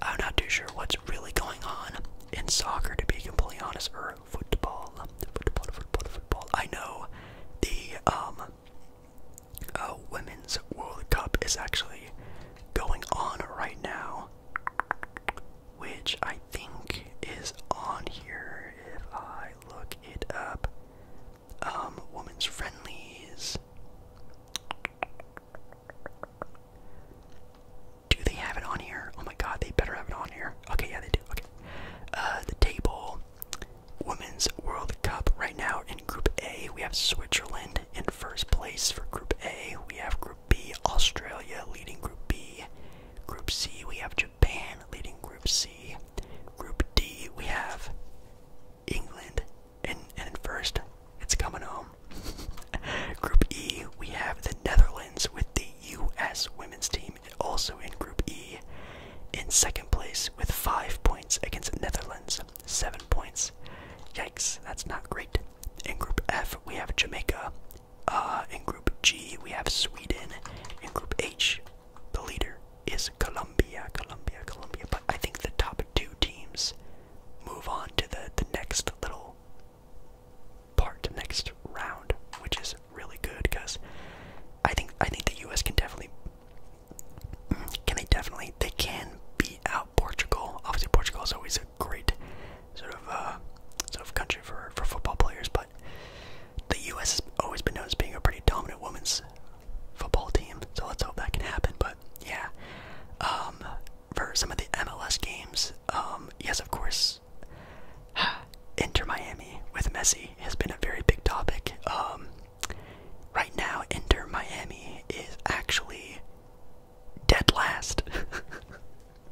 I'm not too sure what's really going on in soccer, to be completely honest, or football. Football, football, football. I know the um, uh, Women's World Cup is actually going on right now, which I think is on here if I look it up. Um, Women's Friendlies. Do they have it on here? Oh my god, they better have it on here. Okay, yeah, they do. Okay. Uh, the table. Women's World Cup right now in Group A. We have Switzerland in first place for Group A. We have Group B, Australia leading Group B. Group C, we have Japan leading Group C. Group D, we have England in, in first. It's coming home. Group E, we have the Netherlands with the U.S. women's team also in Group E in second place with five points against Netherlands, seven points. Yikes, that's not great. In Group F, we have Jamaica. Uh, in Group G, we have Sweden. In Group H, the leader is Colombia, Colombia, Colombia. But I think the top two teams move on to the, the next little part next round, which is really good because I think I think the U.S. can definitely can they definitely they can beat out Portugal. Obviously, Portugal is always a great sort of uh, sort of country for for football players, but the U.S. has always been known as being a pretty dominant women's football team. So let's hope that can happen. But yeah, um, for some of the MLS games. Um, yes, of course. Enter Miami with Messi has been a very big topic. Um, right now, Enter Miami is actually dead last.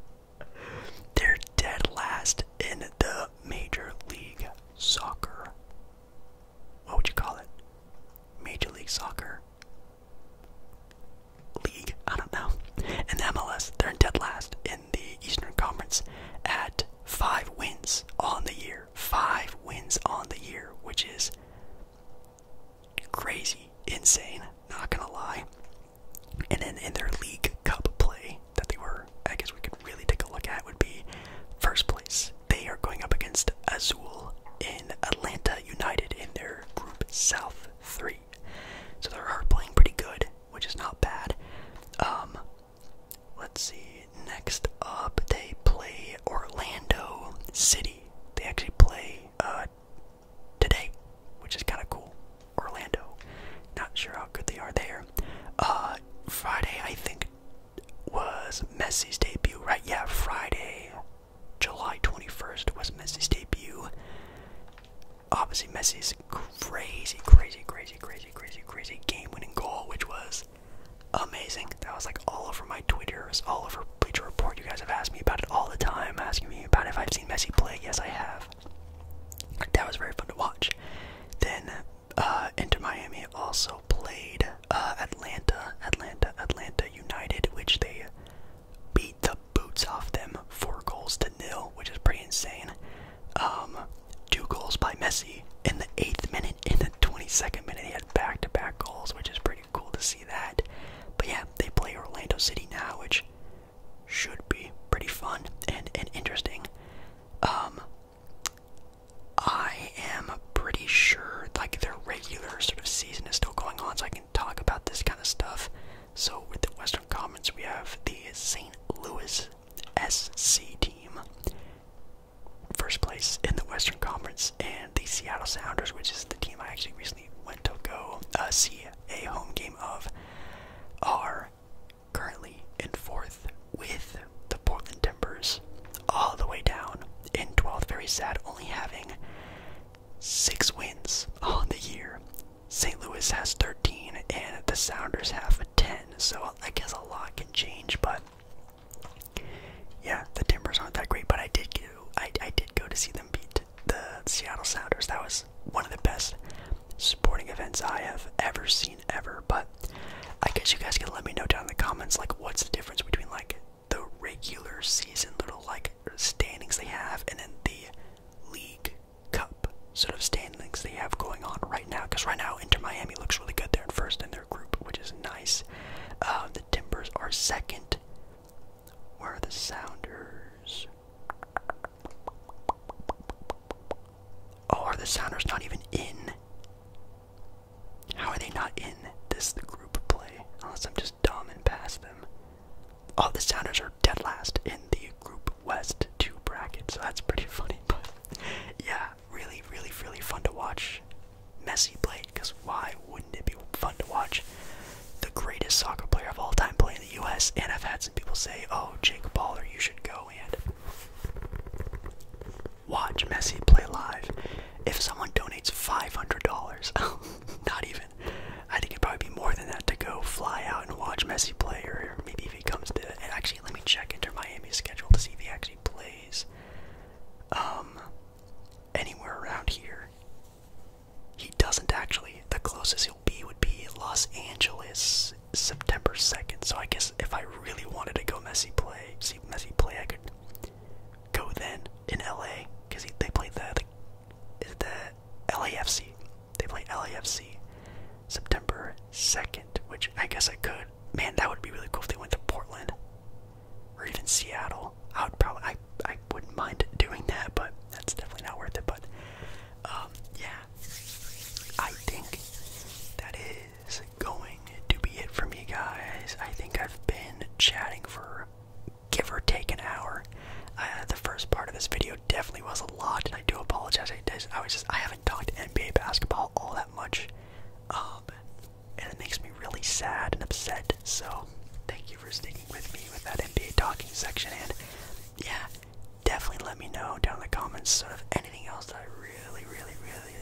They're dead last in the Major League Soccer. What would you call it? Major League Soccer league. I don't know. And the MLS, they're dead last in the Eastern Conference at five wins on the year. Five wins on the year, which is crazy, insane, not gonna lie. And then in their League Cup play that they were, I guess we could really take a look at, would be first place. They are going up against Azul in Atlanta United in their Group South three. So they are playing pretty good, which is not bad. Um, let's see. Next up, they play Orlando City. They actually play uh, today, which is kind of cool. Orlando. Not sure how good they are there. Uh, Friday, I think, was Messi's debut, right? Yeah, Friday July 21st was Messi's debut. Obviously, Messi's crazy, crazy, crazy, crazy, crazy, crazy game-winning goal, which was amazing. That was like all over my Twitter, all over Bleacher Report. You guys have asked me about it all the time, asking me about if I've seen Messi play. Yes, I have. That was very fun to watch. Then uh, Inter Miami also played uh, Atlanta, Atlanta, Atlanta United, which they beat the boots off them, four goals to nil, which is pretty insane. Um, two goals by Messi in the eighth minute, in the 22nd minute, he had back-to-back goals, which is pretty cool to see that. But yeah, they play Orlando City now, which should be pretty fun and and interesting. Um, I am pretty sure like their regular sort of season is still going on, so I can talk about this kind of stuff. So, with the Western Conference, we have the St. Louis SC team, first place in the Western Conference, and the Seattle Sounders, which is the team I actually recently went to go uh, see a home game of, are currently in fourth with the Portland Timbers all the way down in 12th. Very sad, only having six wins on the year. St. Louis has 13, and the Sounders have a 10. So I guess a lot can change, but yeah, the Timbers aren't that great. But I did go, I did go to see them beat the Seattle Sounders. That was one of the best sporting events I have ever seen ever. But I guess you guys can let me know down in the comments, like what's the difference between like the regular season little like standings they have, and then the League Cup sort of standings they have going on right now. Because right now, Inter Miami looks really good. They're first in their group, which is nice. Uh, the Timbers are second. Where are the Sounders? Oh, are the Sounders not even in? How are they not in this group play? Unless I'm just just and pass them. Oh, the Sounders are dead last in the Group West 2 bracket, so that's pretty funny. yeah, really, really, really fun to watch Messi play, because why wouldn't it be fun to watch the greatest soccer player of all time play in the US? And I've had some people say, oh, Jake Baller, you should go and watch Messi play live if someone donates $500. not even even. I think it'd probably be more than that to go fly out and watch Messi play, or maybe if he comes to. And actually, let me check Inter Miami's schedule to see if he actually plays um, anywhere around here. He doesn't actually. The closest he'll be would be Los Angeles, September 2nd. So I guess if I really wanted to go Messi play, see Messi play, I could go then in LA because they played the, the is the LAFC. They play LAFC September 2nd, which I guess I could. Man, that would be really cool if they went to Portland or even Seattle. I would probably, I, I wouldn't mind doing that, but that's definitely not worth it. But um, yeah, I think that is going to be it for me, guys. I think I've been chatting for give or take an hour. Uh, the first part of this video definitely was a lot, and I do apologize. I, was just I haven't talked NBA basketball all that much, um, and it makes me really sad and upset. So thank you for sticking with me with that NBA talking section, and yeah, definitely let me know down in the comments sort of anything else that I really, really, really,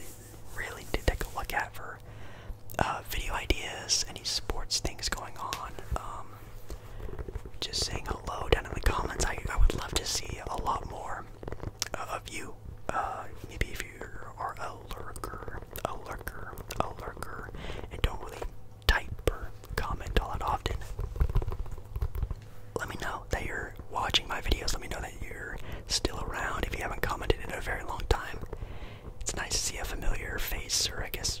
really did take a look at for uh, video ideas, any sports things going on. Um, um, just saying hello down in the comments. I, would love to see a lot more of you. Uh, maybe if you are a lurker, a lurker, a lurker, and don't really type or comment all that often. Let me know that you're watching my videos. Let me know that you're still around if you haven't commented in a very long time. It's nice to see a familiar face, or I guess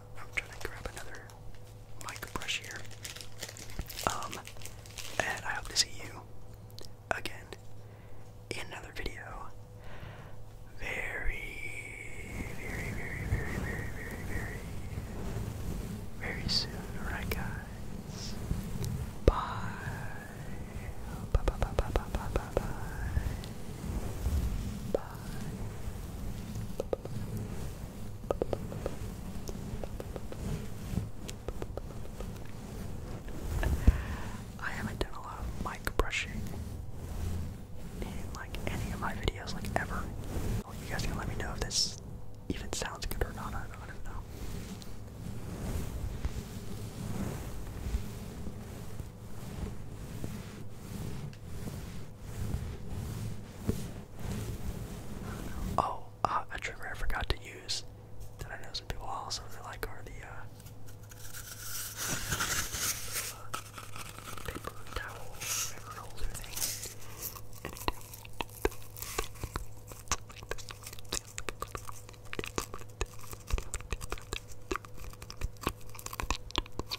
I'm trying to grab another mic here. Um, and I hope to see you again in another video very, very, very, very, very, very, very, soon. Alright, guys. Bye, bye, bye, bye, bye, bye, bye, bye. Bye. I haven't done a lot of mic brushing in like any of my videos, like ever. you guys can let me know if this even sounds good or not I don't know. Oh, uh, a trigger I forgot to use that I know some people also really like are the uh, paper towel paper holder things. I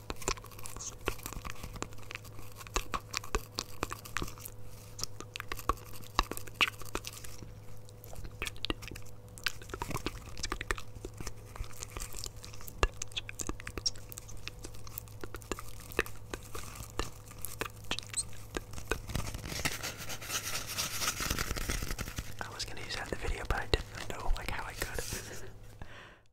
was gonna use that in the video, but I didn't know like how I could.